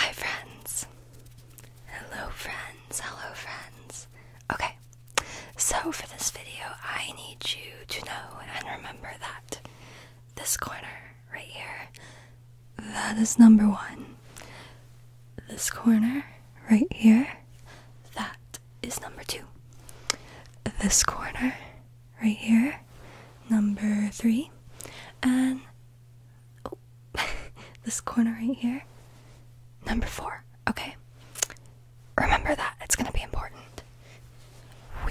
Hi, friends. Hello, friends. Hello, friends. Okay, so for this video, I need you to know and remember that this corner right here, that is number one. This corner right here, that is number two. This corner right here, number three. And Oh, this corner right here. Number four, okay? Remember that, it's gonna be important.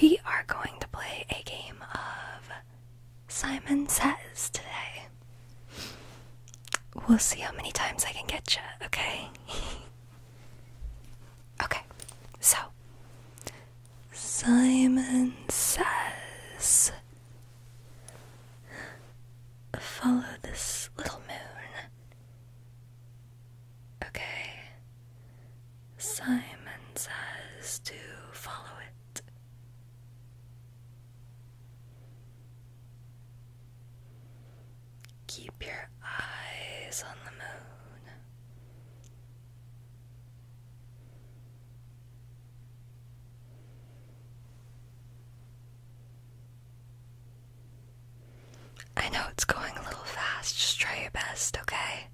We are going to play a game of Simon Says today. We'll see how many times I can get you, okay? okay, so Simon says, Follow this little moon. Okay. Simon says to follow it. Keep your eyes on the moon. I know it's going a little fast, just try your best, okay?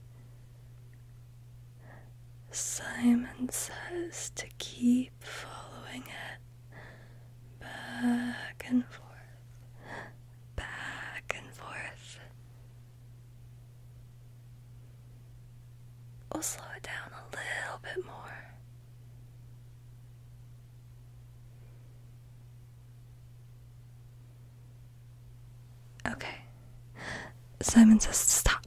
Simon says to keep following it back and forth, back and forth. We'll slow it down a little bit more. Okay. Simon says to stop.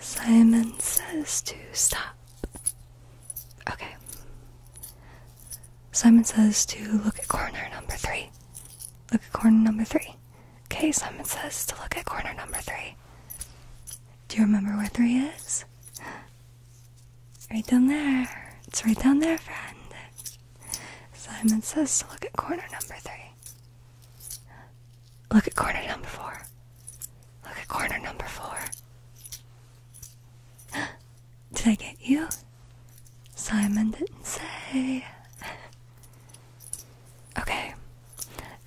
Simon says to stop. Okay. Simon says to look at corner number three. Look at corner number three. Okay, Simon says to look at corner number three. Do you remember where three is? Right down there. It's right down there, friend. Simon says to look at corner number three. Look at corner number four. Look at corner number four. Did I get you? Simon didn't say. Okay.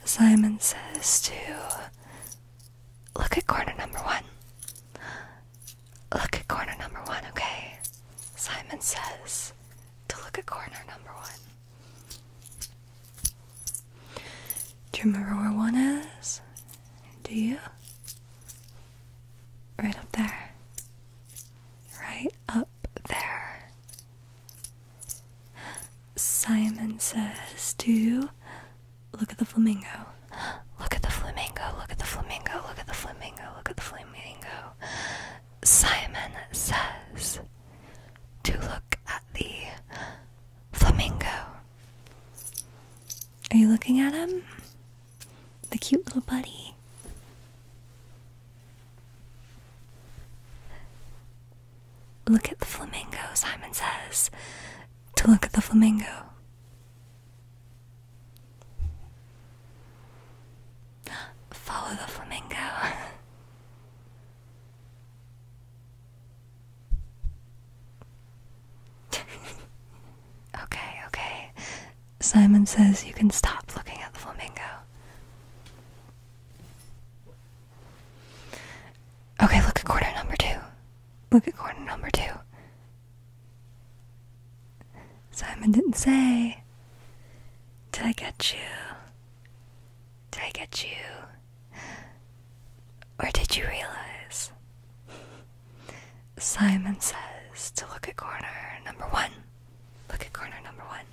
Simon says to look at corner number one. Look at corner number one, okay? Simon says to look at corner number one. Do you remember where one is? Do you? Right up there. Right up there. Simon says "Do look at the flamingo. Look at the flamingo, look at the flamingo, look at the flamingo, look at the flamingo. Simon says "Do look at the flamingo. Are you looking at him? The cute little buddy. Look at the flamingo, Simon says. To look at the flamingo. Follow the flamingo. okay, okay. Simon says you can stop looking at the flamingo. Okay, look at corner number two. Look at corner number two. Simon didn't say. Did I get you? Did I get you? Or did you realize? Simon says to look at corner number one. Look at corner number one.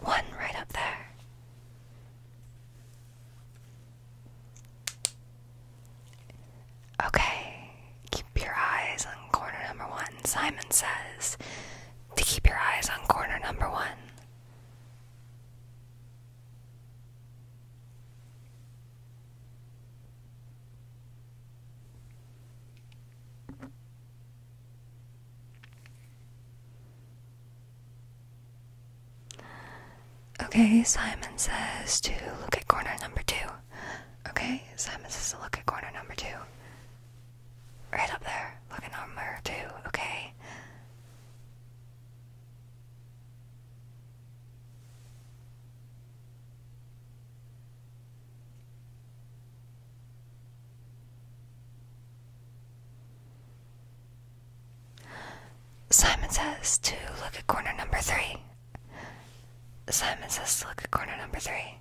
One right up there. Okay, keep your eyes on corner number one. Simon says to keep your eyes on corner number one. Okay, Simon says to look at corner number two. Okay, Simon says to look at corner number two. Right up there, look at number two, okay? Simon says to look at corner number three. Simon says to look at corner number three.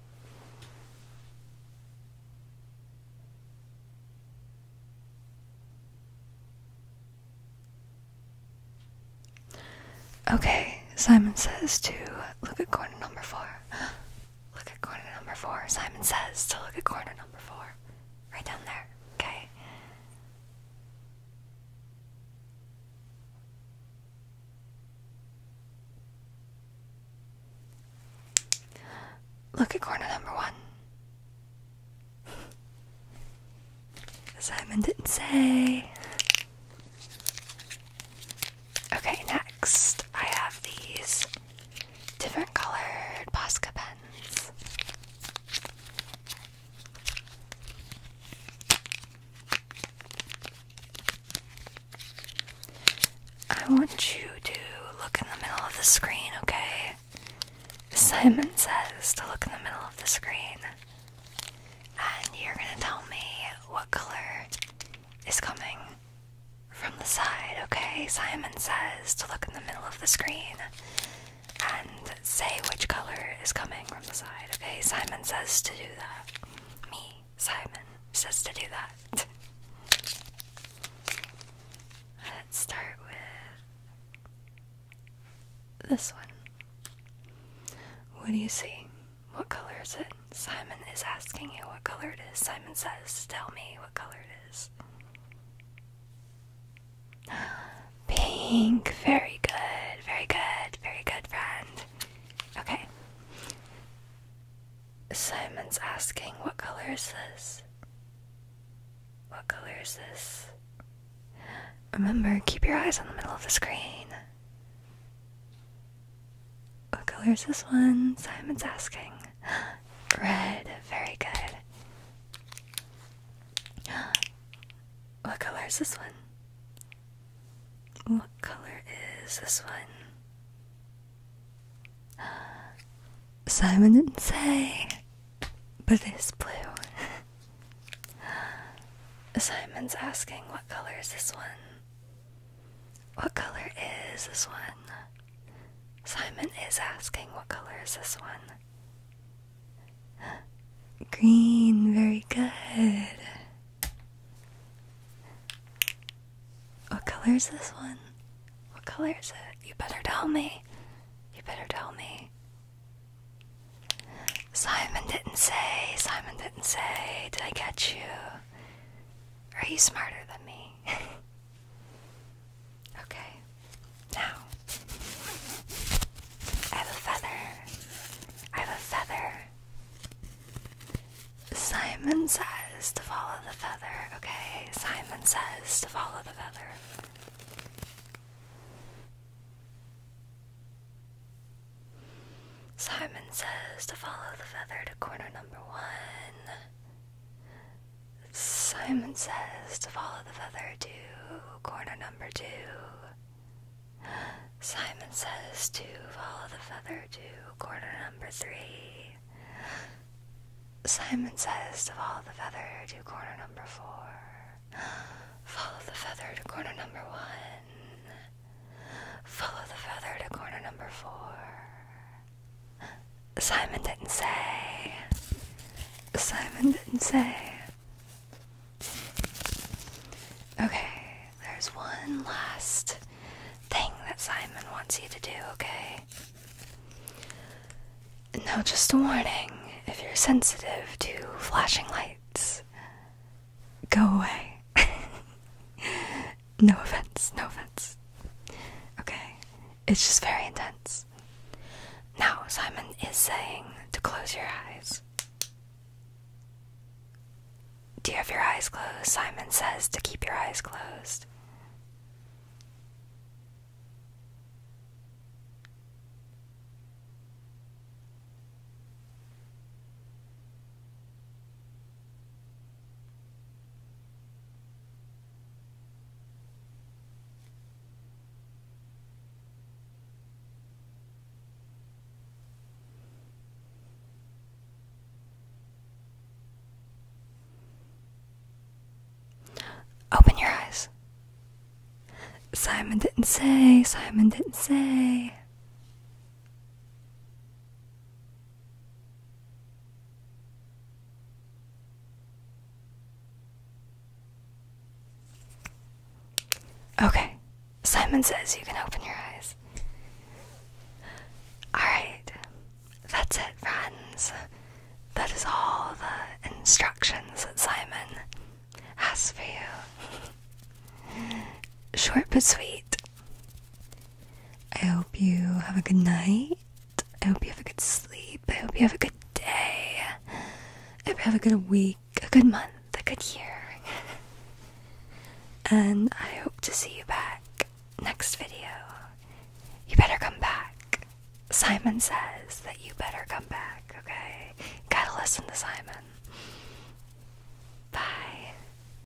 Okay, Simon says to look at corner number four. Look at corner number four. Simon says to look at corner number four. Right down there. Okay. Look at corner number one. Simon didn't say. Okay, next I have these different colored Posca pens. I want you to look in the middle of the screen, okay? Simon says to look in the middle of the screen. And you're gonna tell me what color is coming from the side, okay? Simon says to look in the middle of the screen and say which color is coming from the side, okay? Simon says to do that. Me, Simon, says to do that. Let's start with this one. What do you see? What color is it? Simon is asking you what color it is. Simon says, Tell me what color it is. Pink. Very good. Very good. Very good, friend. Okay. Simon's asking, What color is this? What color is this? Remember, keep your eyes on the middle of the screen. What color is this one? Simon's asking. Red. Very good. What color is this one? What color is this one? Simon didn't say, but it is blue. Simon's asking, what color is this one? What color is this one? Simon is asking, What color is this one? Green, very good. What color is this one? What color is it? You better tell me. You better tell me. Simon didn't say. Simon didn't say. Did I catch you? Are you smarter than me? okay, now I have a feather. I have a feather. Simon says to follow the feather, okay? Simon says to follow the feather. Simon says to follow the feather to corner number one. Simon says to follow the feather to corner number two. Simon says to follow the feather to corner number three. Simon says to follow the feather to corner number four. Follow the feather to corner number one. Follow the feather to corner number four. Simon didn't say. Simon didn't say. Okay, there's one last thing that Simon wants you to do, okay? Now, just a warning if you're sensitive to flashing lights, go away. no offense, no offense. Okay, it's just very intense. Now, Simon is saying to close your eyes. Do you have your eyes closed? Simon says to keep your eyes closed. Open your eyes. Simon didn't say, Simon didn't say. Okay, Simon says you can open your eyes. Alright, that's it, friends. That is all the instructions that Simon has for you. Short but sweet. I hope you have a good night. I hope you have a good sleep. I hope you have a good day. I hope you have a good week, a good month, a good year. and I hope to see you back next video. You better come back. Simon says that you better come back, okay? Gotta listen to Simon. Bye.